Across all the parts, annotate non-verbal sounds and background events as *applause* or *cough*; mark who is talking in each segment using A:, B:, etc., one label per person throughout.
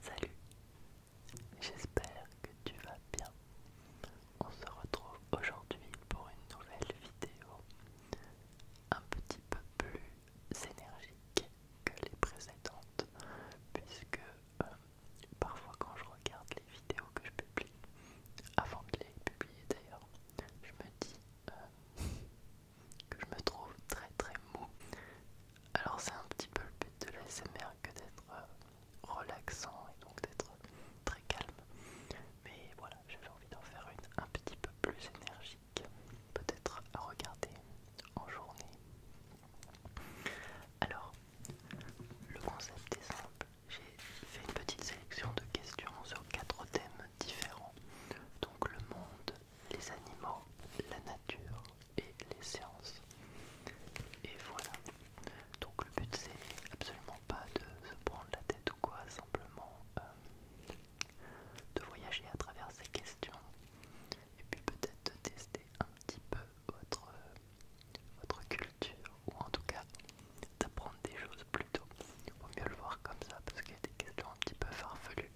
A: Salut, j'espère que tu vas bien. On se retrouve aujourd'hui pour une nouvelle vidéo un petit peu plus énergique que les précédentes, puisque euh, parfois quand je regarde les vidéos que je publie, avant de les publier d'ailleurs, je me dis euh, que je me trouve très très mou. Alors c'est un petit peu le but de l'ASMR que d'être euh, relaxant et donc d'être très calme. Mais voilà, j'avais envie d'en faire une un petit peu plus énergique, peut-être à regarder en journée. Alors, le concept est simple. J'ai fait une petite sélection de questions sur quatre thèmes différents. Donc le monde, les animaux, la nature et les sciences. Et voilà. Donc le but c'est absolument pas de se prendre la tête ou quoi, simplement euh, de voyager à travers ces questions et puis peut-être de tester un petit peu votre, euh, votre culture ou en tout cas d'apprendre des choses plutôt. Il Vaut mieux le voir comme ça parce qu'il y a des questions un petit peu farfelues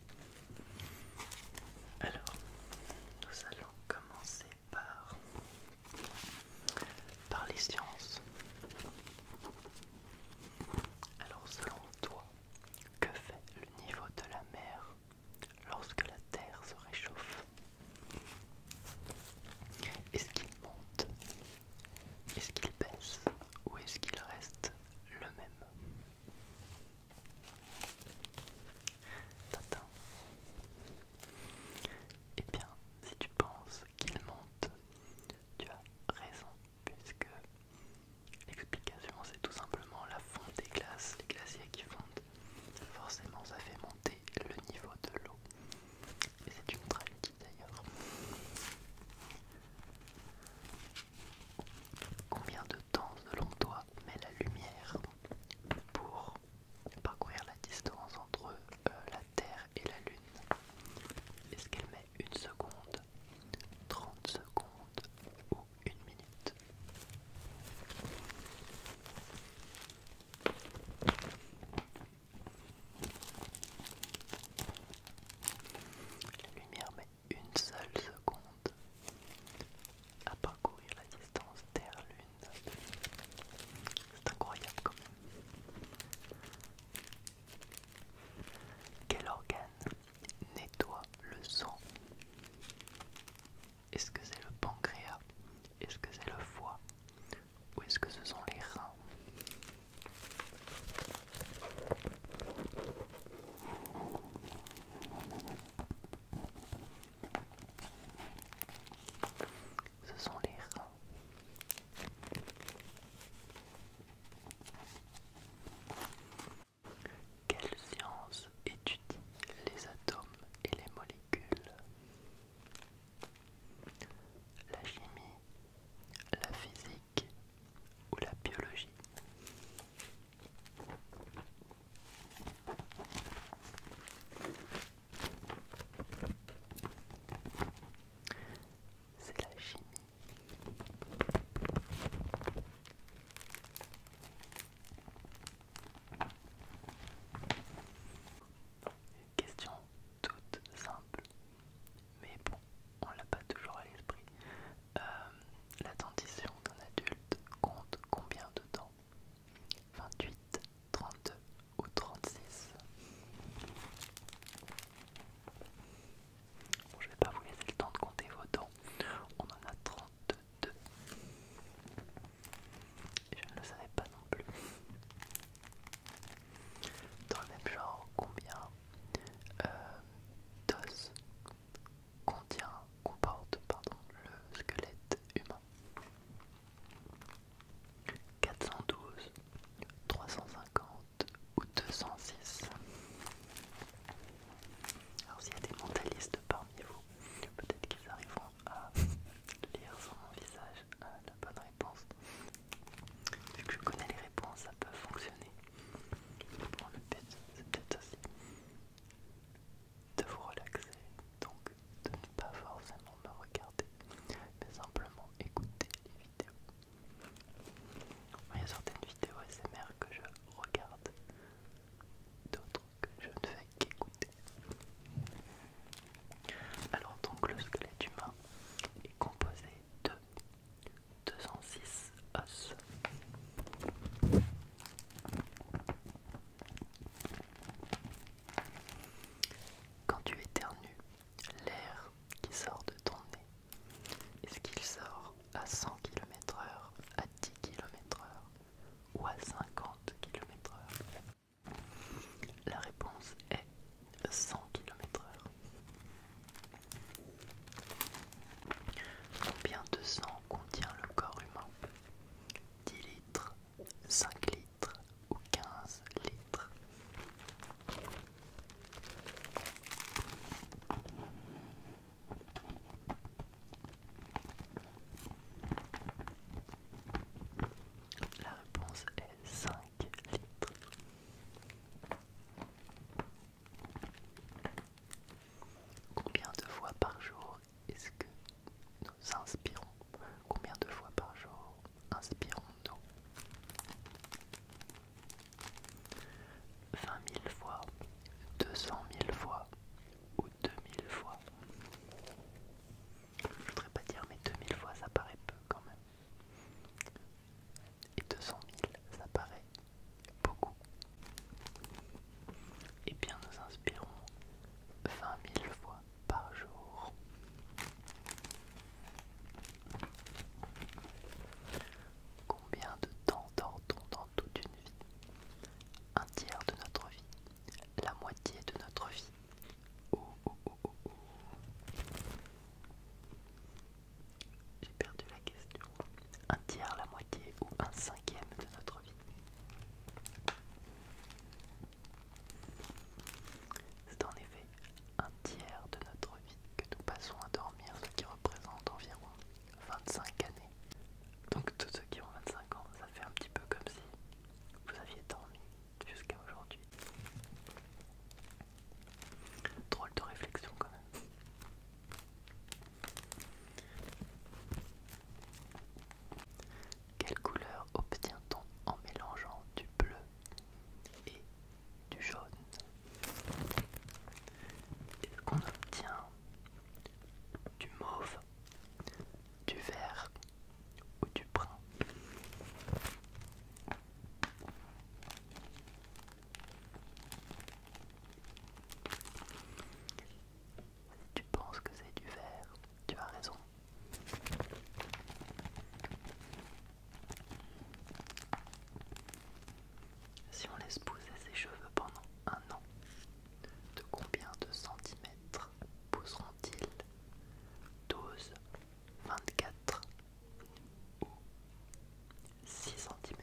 A: alors, nous allons commencer par, par les sciences. Alors, selon toi, que fait le niveau de la mer lorsque la Terre se réchauffe Est-ce qu'il monte Est-ce qu'il baisse Ou est-ce qu'il reste le même et eh bien, si tu penses qu'il monte, tu as raison, puisque l'explication c'est tout simplement la fonte des glaces, les glaciers qui fondent. Forcément, ça fait monter le niveau de l'eau. Et c'est une tragédie d'ailleurs. Combien de temps selon toi met la lumière pour parcourir la distance entre euh, la Terre et la Lune Est-ce qu'elle met une seconde, 30 secondes ou une minute La lumière met une seule seconde à parcourir la distance Terre-Lune. C'est incroyable quand même. Quel organe nettoie le sang Est-ce que c'est le pancréas Est-ce que c'est le foie Ou est-ce que ce sont les reins ce sont les rats. Quelle science étudie les atomes et les molécules La chimie, la physique ou la biologie c'est la chimie. Question toute simple, mais bon, on l'a pas toujours à l'esprit. Euh, la dentition d'un adulte compte combien de dents 28, 32 ou 36 Bon, je vais pas vous laisser le temps de compter vos dents. On en a 32. je ne le savais pas non plus. Dans le même genre, combien euh, d'os contient, comporte pardon, le squelette humain. 412, 350 ou 206. Alors s'il y a des mentalistes parmi vous, peut-être qu'ils arriveront à lire sur mon visage euh, la bonne réponse. Vu que je connais les réponses, ça peut fonctionner le but, c'est peut-être aussi de vous relaxer, donc de ne pas forcément me regarder, mais simplement écouter les vidéos. Il y a certaines vidéos SMR que je regarde, d'autres que je ne fais qu'écouter. Alors donc le squelette humain est composé de 206 os. Quand tu éternues, l'air qui sort de ton nez, est-ce qu'il sort à 100 km/h, à 10 km/h ou à 50 km/h La réponse est 100 km/h. Combien de sang contient le corps humain 10 litres, 5 litres ou 15 litres La réponse est 5 litres. Combien de fois par jour est-ce que nous inspirons Combien de fois par jour inspirons-nous 20 000 fois, 200 000 fois ou 2000 fois Je voudrais pas dire mais 2000 fois ça paraît peu quand même et 200 000, ça paraît beaucoup. Et eh bien, nous inspirons 20 000 fois par jour. Combien de temps dort dans toute une vie Un tiers de notre vie, la moitié de notre vie. J'ai perdu la question. Un tiers, la moitié ou un cinquième de notre vie C'est en effet un tiers de notre vie que nous passons à dormir, ce qui représente environ 25 années. Donc tous ceux qui ont 25 ans, ça fait un petit peu comme si vous aviez dormi jusqu'à aujourd'hui. Drôle de réflexion quand même. Quelle couleur obtient-on en mélangeant du bleu et du jaune Est-ce qu'on obtient du mauve, du vert ou du brun tu penses que c'est du verre, tu as raison. Si on laisse pousser ses cheveux pendant un an, de combien de centimètres pousseront-ils 12, 24 ou 6 cm.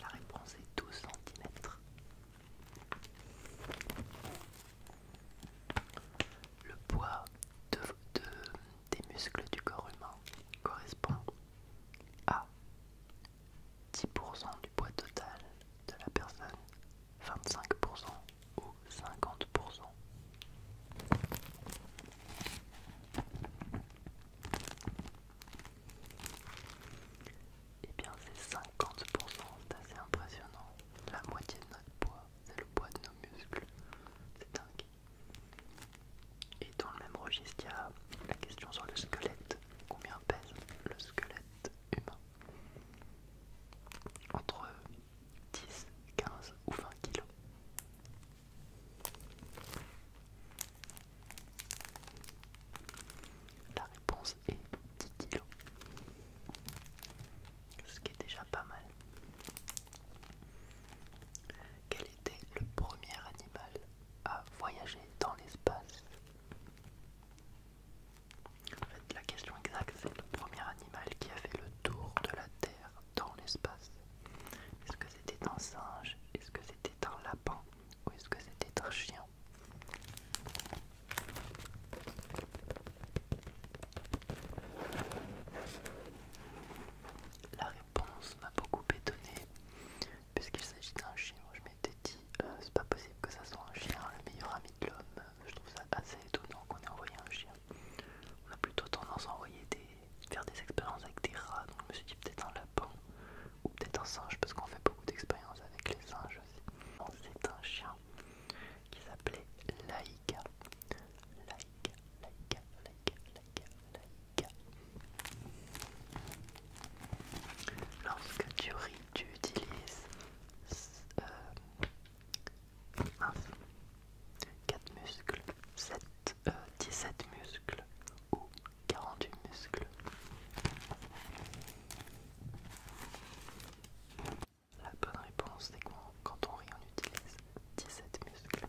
A: La réponse est 12 cm. Le poids des muscles du corps humain correspond a. Ah. 10% du poids total de la personne, 25% ou 50%. Et eh bien c'est 50%, c'est assez impressionnant. La moitié de notre poids, c'est le poids de nos muscles. C'est dingue. Et dans le même registre, il y a la question sur le squelette. Combien pèse le squelette humain Entre 10, 15 ou 20 kilos. La réponse est 10 kilos. Ce qui est déjà pas mal. C'était le premier animal à voyager dans l'espace. En fait, la question exacte, c'est le premier animal qui a fait le tour de la Terre dans l'espace. Est-ce que c'était un singe Est-ce que c'était un lapin Ou est-ce que c'était un chien La ça m'a beaucoup étonné puisqu'il s'agit d'un chien. Je m'étais dit, euh, c'est pas possible que ça soit un chien, le meilleur ami de l'homme. Je trouve ça assez étonnant qu'on ait envoyé un chien. On a plutôt tendance à envoyer des, faire des expériences avec des rats, donc je me suis dit peut-être un lapin ou peut-être un singe parce qu'on fait beaucoup d'expériences avec les singes aussi. C'est un chien qui s'appelait like like like like Lorsque tu ris, tu utilises 4 euh, muscles, 7, 17 euh, muscles ou 48 muscles. La bonne réponse c'est quand on rit on utilise 17 muscles.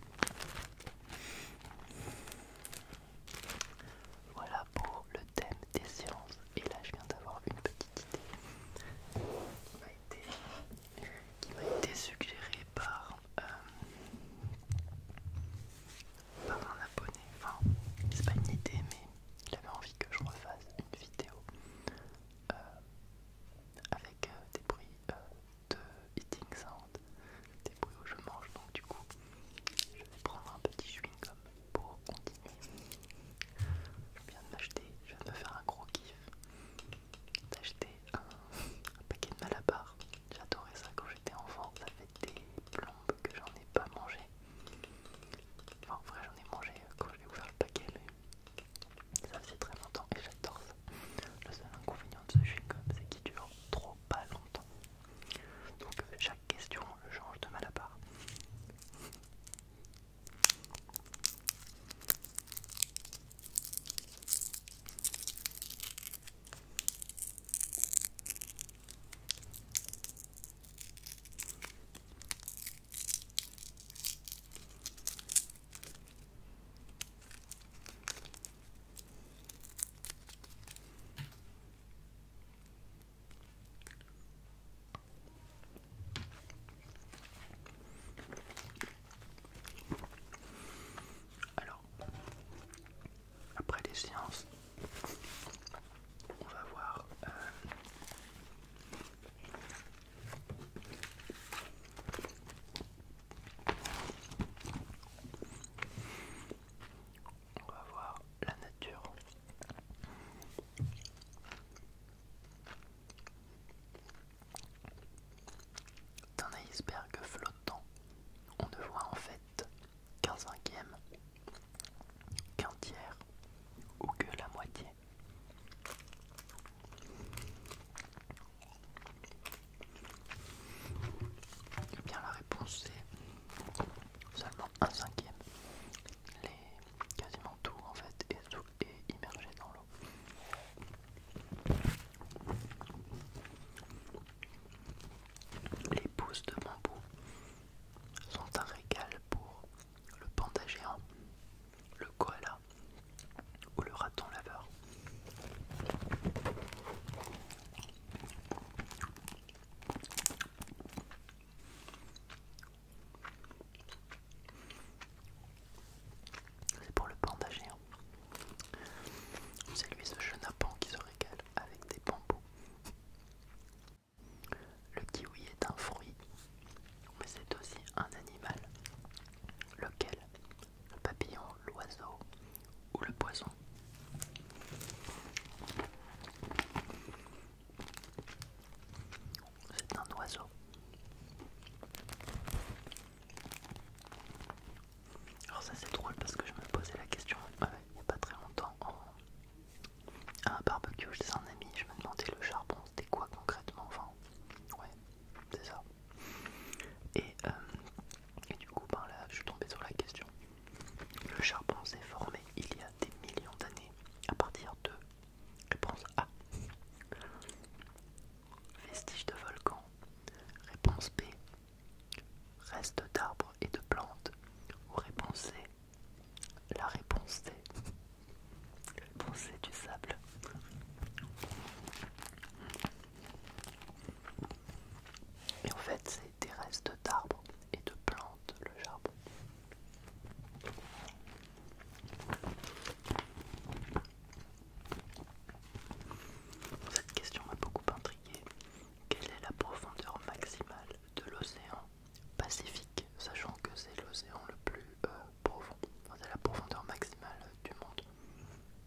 A: Voilà pour le thème des séances. Et là, je viens d'avoir une petite idée qui m'a été, suggérée euh, par, un abonné. Enfin, c'est pas une idée, mais il avait envie que je refasse une vidéo euh, avec euh, des bruits de eating sound, des bruits où je mange, donc du coup, je vais prendre un petit chewing-gum pour continuer. Je viens de m'acheter, je viens de me faire un gros kiff d'acheter un, paquet de malabar. J'adorais ça quand j'étais enfant, ça fait des plombes que j'en ai pas mangé. en vrai, j'en ai mangé quand j'ai ouvert le paquet, mais ça faisait très longtemps et j'adore le seul inconvénient de ce chewing-gum, c'est qu'il dure trop pas longtemps. Donc euh, chaque question change de mal à part. Alors, après les séances, on va voir euh, on va voir la nature. D'un iceberg flottant, on ne voit en fait qu'un cinquième, qu'un tiers ou que la moitié. Eh bien la réponse c'est seulement un cinquième. Les, quasiment tout en fait est, est immergé dans l'eau. Les pousses de bambou sont un régal pour le panda géant, le koala, ou le raton laveur. C'est pour le panda géant. C'est lui ce chenapan qui se régale avec des bambous. Le kiwi est un fruit, mais c'est aussi un animal, lequel le papillon, l'oiseau ou le poisson. C'est un oiseau. Alors ça c'est drôle parce que je me posais la question euh, il n'y a pas très longtemps à un barbecue chez un ami, je me demandais le charbon c'était quoi concrètement, enfin c'est ça. Euh, et, du coup, ben là, je suis tombé sur la question. Le charbon s'est formé il y a des millions d'années à partir de réponse A. Vestiges de volcans. Réponse B. restes d'arbres et de plantes. Ou réponse C. La réponse C. Réponse C du sable. Et en fait, c'est des restes d'arbres et de plantes, le charbon. Cette question m'a beaucoup intrigué. Quelle est la profondeur maximale de l'océan Pacifique, sachant que c'est l'océan le plus euh, profond, c'est la profondeur maximale du monde.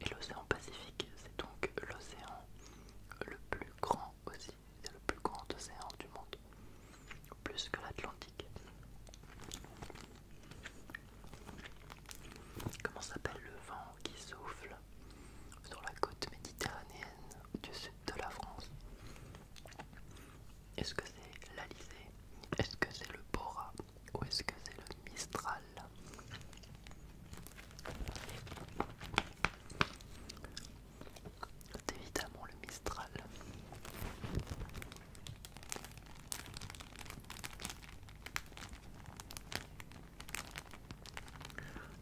A: Et l'océan Pacifique, c'est donc l'océan le plus grand aussi, c'est le plus grand océan du monde, plus que l'Atlantique. Comment s'appelle le vent qui souffle sur la côte méditerranéenne du sud de la France Est-ce que c'est l'Alizé Est-ce que c'est le Bora ou est-ce que c'est le Mistral C'est évidemment le Mistral.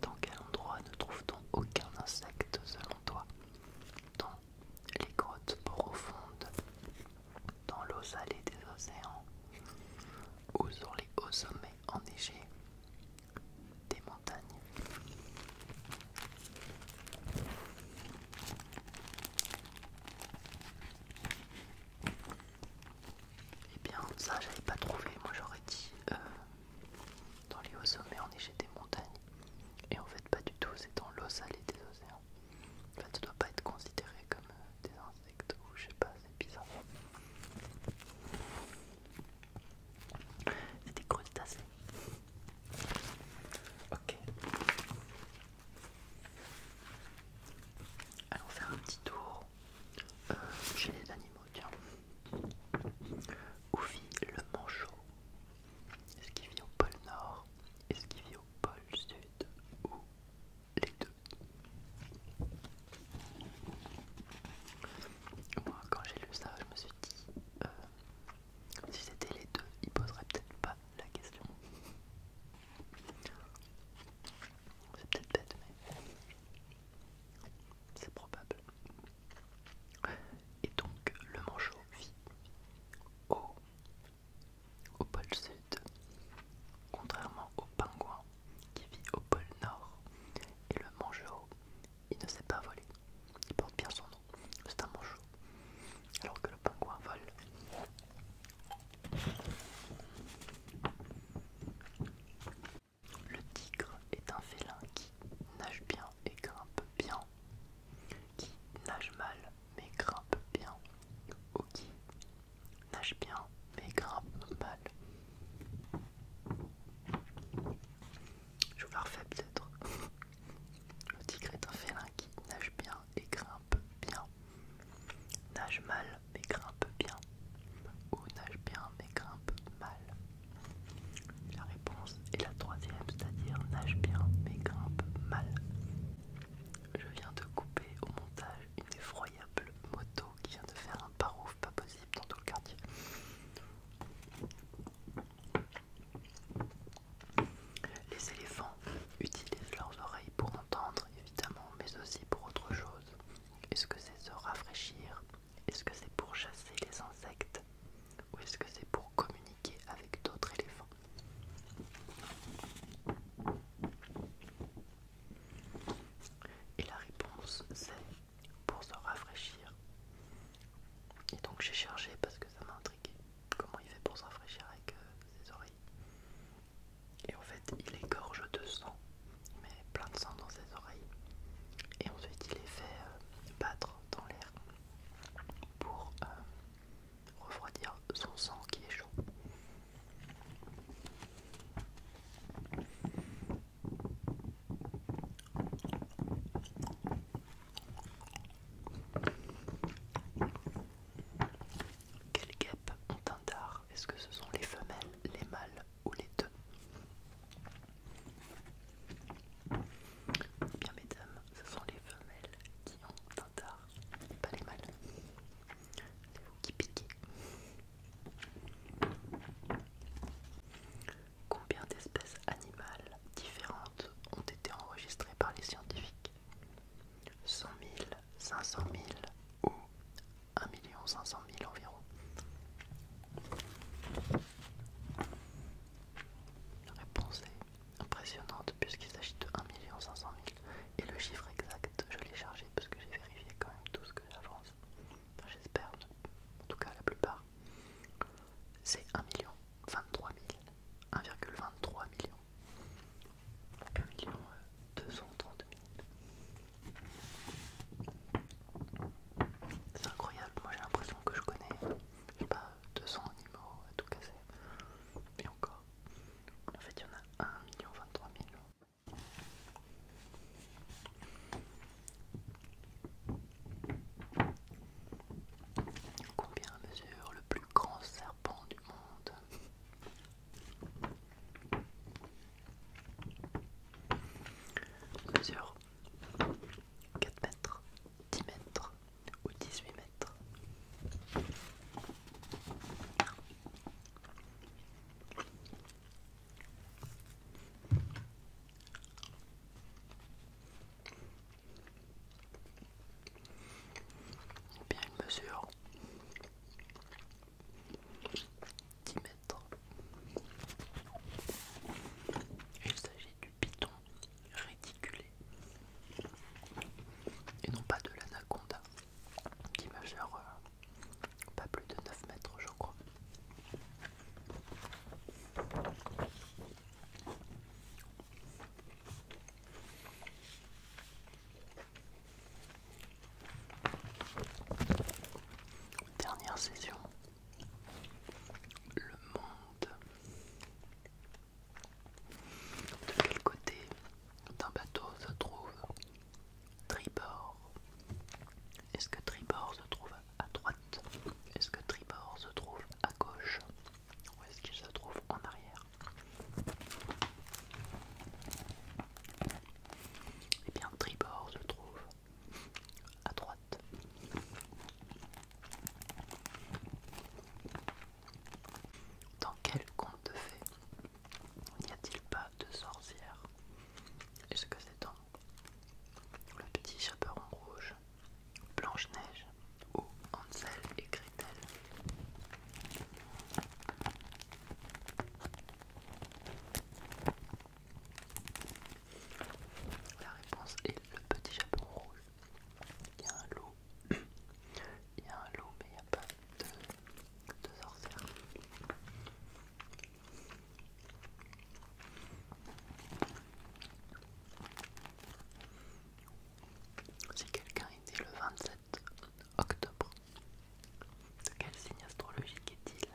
A: Dans quel endroit ne trouve-t-on aucun insecte selon toi Dans les grottes profondes, dans l'eau salée des océans, ou sur les hauts sommets enneigés des montagnes. Eh bien, ça j'avais pas trouvé, moi j'aurais dit euh, dans les hauts sommets enneigés des montagnes. Et en fait, pas du tout, c'est dans l'eau salée des océans. En fait, ça doit pas être considéré comme euh, des ou je sais pas, c'est bizarre. C'est des crustacés. Ok. Allons faire un petit tour euh, chez les animaux, tiens. Où vit le manchot Est-ce qu'il vit au pôle Nord Est-ce qu'il vit au pôle Sud les deux. Moi, quand j'ai lu ça, je me suis dit, euh, si c'était les deux, il poserait peut-être pas la question. C'est peut-être bête, mais c'est probable. Et donc, le manchot vit au, au pôle sud, contrairement au pingouin qui vit au pôle Nord et le mangeot, il ne sait pas voler. Il porte bien son nom, c'est un manchot, Alors que le pingouin vole. Le tigre est un félin qui nage bien et grimpe bien, qui nage mal mais grimpe bien, Ok. Nage bien, mais grimpe mal. Je vous la refais peut-être. *laughs* Le tigre est un félin qui nage bien et grimpe bien. Nage mal, mais grimpe bien. Ou nage bien, mais grimpe mal. La réponse est la troisième, c'est-à-dire nage bien, mais grimpe mal. Je viens de couper au montage une effroyable moto qui vient de faire un parouf pas possible dans tout le quartier. Les éléphants utilisent leurs oreilles pour entendre, évidemment, mais aussi pour autre chose. Est-ce que c'est se rafraîchir Est-ce que c'est pour chasser les insectes Ou est-ce que c'est pour communiquer avec d'autres éléphants et la réponse c'est pour se rafraîchir. Et donc j'ai cherché parce que ça m'a intrigué. Comment il fait pour se rafraîchir avec euh, ses oreilles Et en fait il égorge de sang, il met plein de sang dans ses oreilles. Et ensuite il les fait euh, battre dans l'air pour euh, refroidir son sang qui est chaud. Quelles guêpes ont un dard Est-ce que ce sont les femelles, les mâles ou les deux bien mesdames, ce sont les femelles qui ont un dard, pas les mâles. C'est vous qui piquez. Combien d'espèces animales différentes ont été enregistrées par les scientifiques 100 000, 500 000 ou 1 500 000 environ la réponse est impressionnante puisqu'il s'agit de 1 500 000. Et le chiffre exact, je l'ai chargé parce que j'ai vérifié quand même tout ce que j'avance. Enfin, J'espère, en tout cas la plupart. C'est 1 million 23 000. 1,23 million. 1 million 000. Euh, C'est incroyable, moi j'ai l'impression que je connais, pas, 200 animaux à euh, tout casser. Et encore. En fait, il y en a 1 million 23 000. Combien mesure le plus grand serpent du monde Mesure 4 mètres, 10 mètres ou 18 mètres Bien une mesure 10 mètres. Il s'agit du piton réticulé et non pas de l'anaconda qui mesure euh, pas plus de 9 mètres je crois. Dernière session, le monde. De quel côté d'un bateau se trouve Tribord. Est-ce que tribord se trouve à droite Est-ce que tribord se trouve à gauche Ou est-ce qu'il se trouve en arrière Eh bien, tribord se trouve à droite. Dans quel conte de N'y a-t-il pas de sorcière Est-ce que c'est dans Le petit chaperon rouge, Blanche-Neige ou Hansel et Gretel La réponse est le petit chaperon rouge. Il y a un loup, *clears throat* il y a un loup, mais il n'y a pas de de Si quelqu'un était le 27 octobre, quel signe astrologique est-il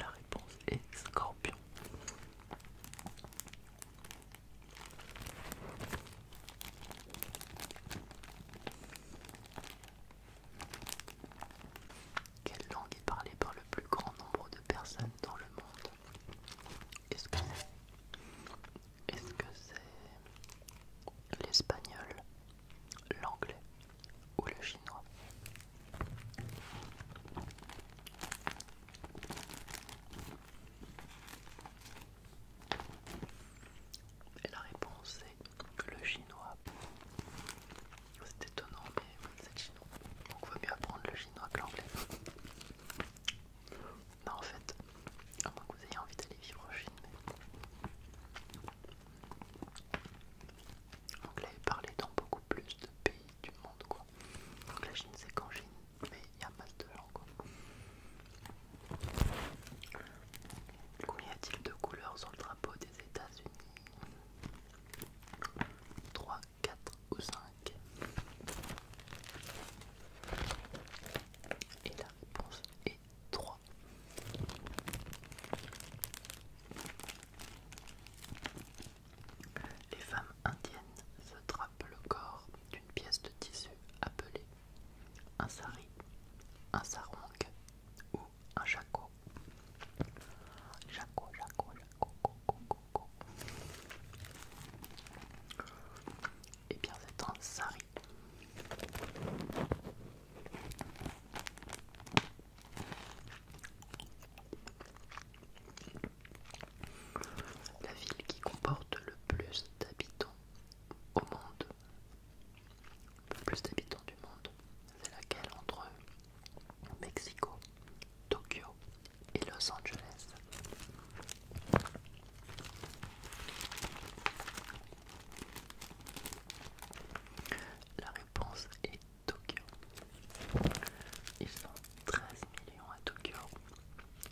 A: La réponse est scorpion. Quelle langue est parlée par le plus grand nombre de personnes dans le monde Est-ce que c'est l'espagnol, l'anglais ou le chinois et la réponse est le chinois. C'est étonnant, mais c'est chinois. Donc, vaut mieux apprendre le chinois que l'anglais. Non, en fait, à moins que vous ayez envie d'aller vivre au Chine, l'anglais est parlé dans beaucoup plus de pays du monde, quoi. Donc la Chine c'est qu'en Chine, mais il y a pas de gens quoi. Combien y a-t-il de couleurs sur le drapeau des États-Unis 3, 4 ou 5 Et la réponse est 3. Les femmes indiennes se drapent le corps d'une pièce de tissu appelée un sari, un sarong ou un jaco. Jacot, Et eh bien c'est un sari la ville qui comporte le plus d'habitants au monde, le plus d'habitants du monde, c'est laquelle entre Mexico, Tokyo et Los Angeles La réponse est Tokyo. Ils sont 13 millions à Tokyo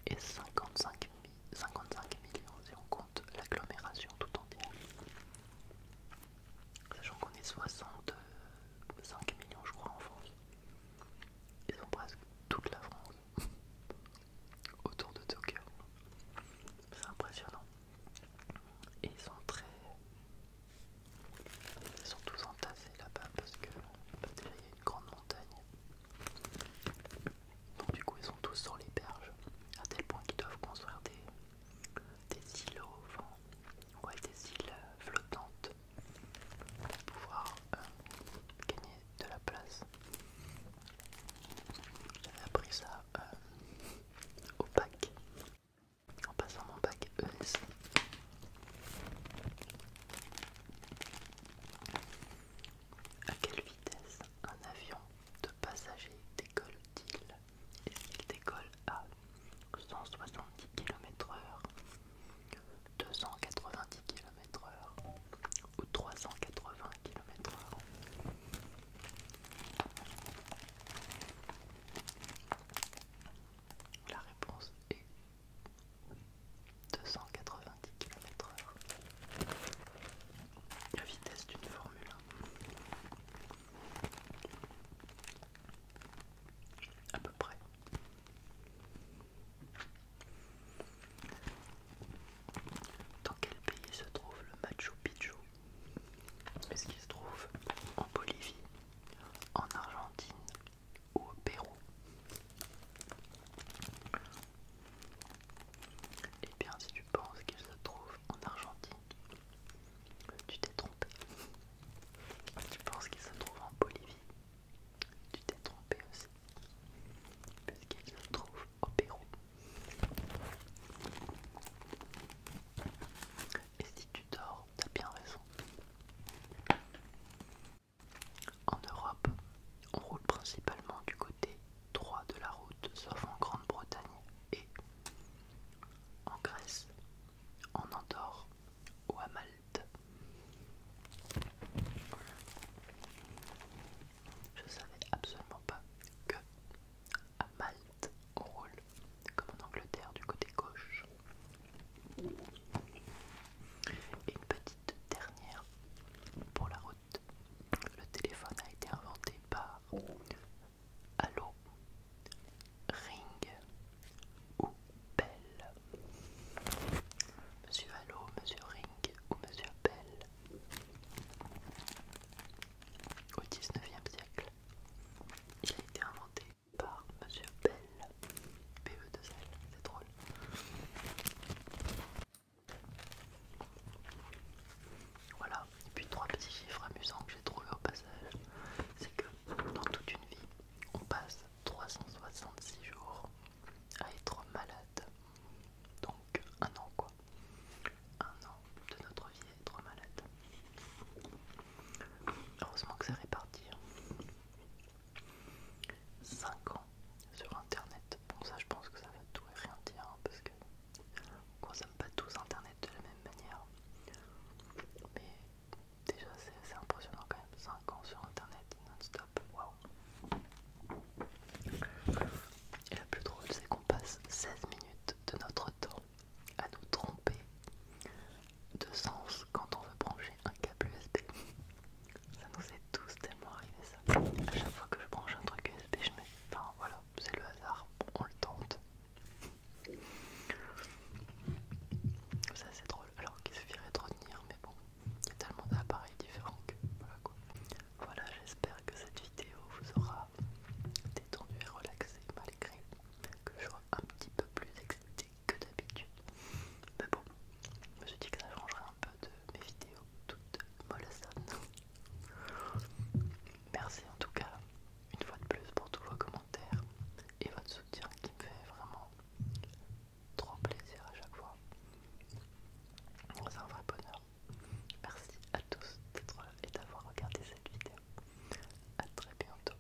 A: et 55, 55 millions si on compte l'agglomération tout entière. Sachant qu'on est 65 millions je crois en France. Ils ont presque toute la France *laughs* autour de Tokyo. C'est impressionnant. Et ils sont très ils sont tous entassés là-bas parce que il y a une grande montagne. Donc du coup ils sont tous sur les berges, à tel point qu'ils doivent construire des, des des îles flottantes pour pouvoir euh, gagner de la place. J'avais appris ça euh, au bac, en passant mon bac ES. À quelle vitesse un avion de passagers décolle-t-il Est-ce qu'il décolle à 170 km/h, 290 km/h ou 380 km/h La réponse est 290 km/h. La vitesse d'une Formule À peu près. Dans quel pays se trouve le Machu Picchu Est-ce qu'il se trouve en Bolivie, en Argentine, au Pérou. et eh bien, si tu penses qu'il se trouve en Argentine, tu t'es trompé. Tu penses qu'il se trouve en Bolivie, tu t'es trompé aussi. Puisqu'il se trouve au Pérou. Et si tu dors t'as bien raison. En Europe, on roule principalement du côté droit de la route, sauf en Grande-Bretagne et en Grèce, en Andorre ou à Malte. Je savais absolument pas que à Malte on roule comme en Angleterre du côté gauche et une petite dernière pour la route. Le téléphone a été inventé par Allo, Ring ou Bell. Monsieur Allo, Monsieur Ring ou Monsieur Bell. Au 19e siècle, il a été inventé par Monsieur Bell, PE2L, c'est drôle. Voilà, et puis trois petits chiffres amusants que j'ai trouvé au passage, c'est que dans toute une vie, on passe 366 jours à être malade. Donc un an quoi. Un an de notre vie à être malade. Heureusement que c'est réparti. Hein. 5 ans sur internet. Bon, ça je pense que ça va tout et rien dire hein, parce que on consomme pas tous internet de la même manière. Mais déjà, c'est impressionnant quand même. 5 ans sur internet non-stop, waouh! Et la plus drôle, c'est qu'on passe 16 minutes de notre temps à nous tromper, de sens quand on veut brancher un câble USB. Ça nous est tous tellement arrivé ça. À chaque fois que je branche un truc USB, je mets... voilà, c'est le hasard, on le tente. Ça c'est drôle, alors qu'il suffirait de retenir, mais bon, il y a tellement d'appareils différents que voilà quoi. Voilà, j'espère que cette vidéo vous aura détendu et relaxé malgré que je sois un petit peu plus excitée que d'habitude. Mais bon, je me suis dit que ça changerait un peu de mes vidéos toutes mollassantes. Merci en tout cas, une fois de plus, pour tous vos commentaires et votre soutien qui me fait vraiment trop plaisir à chaque fois. C'est un vrai bonheur. Merci à tous d'être là et d'avoir regardé cette vidéo. à très bientôt.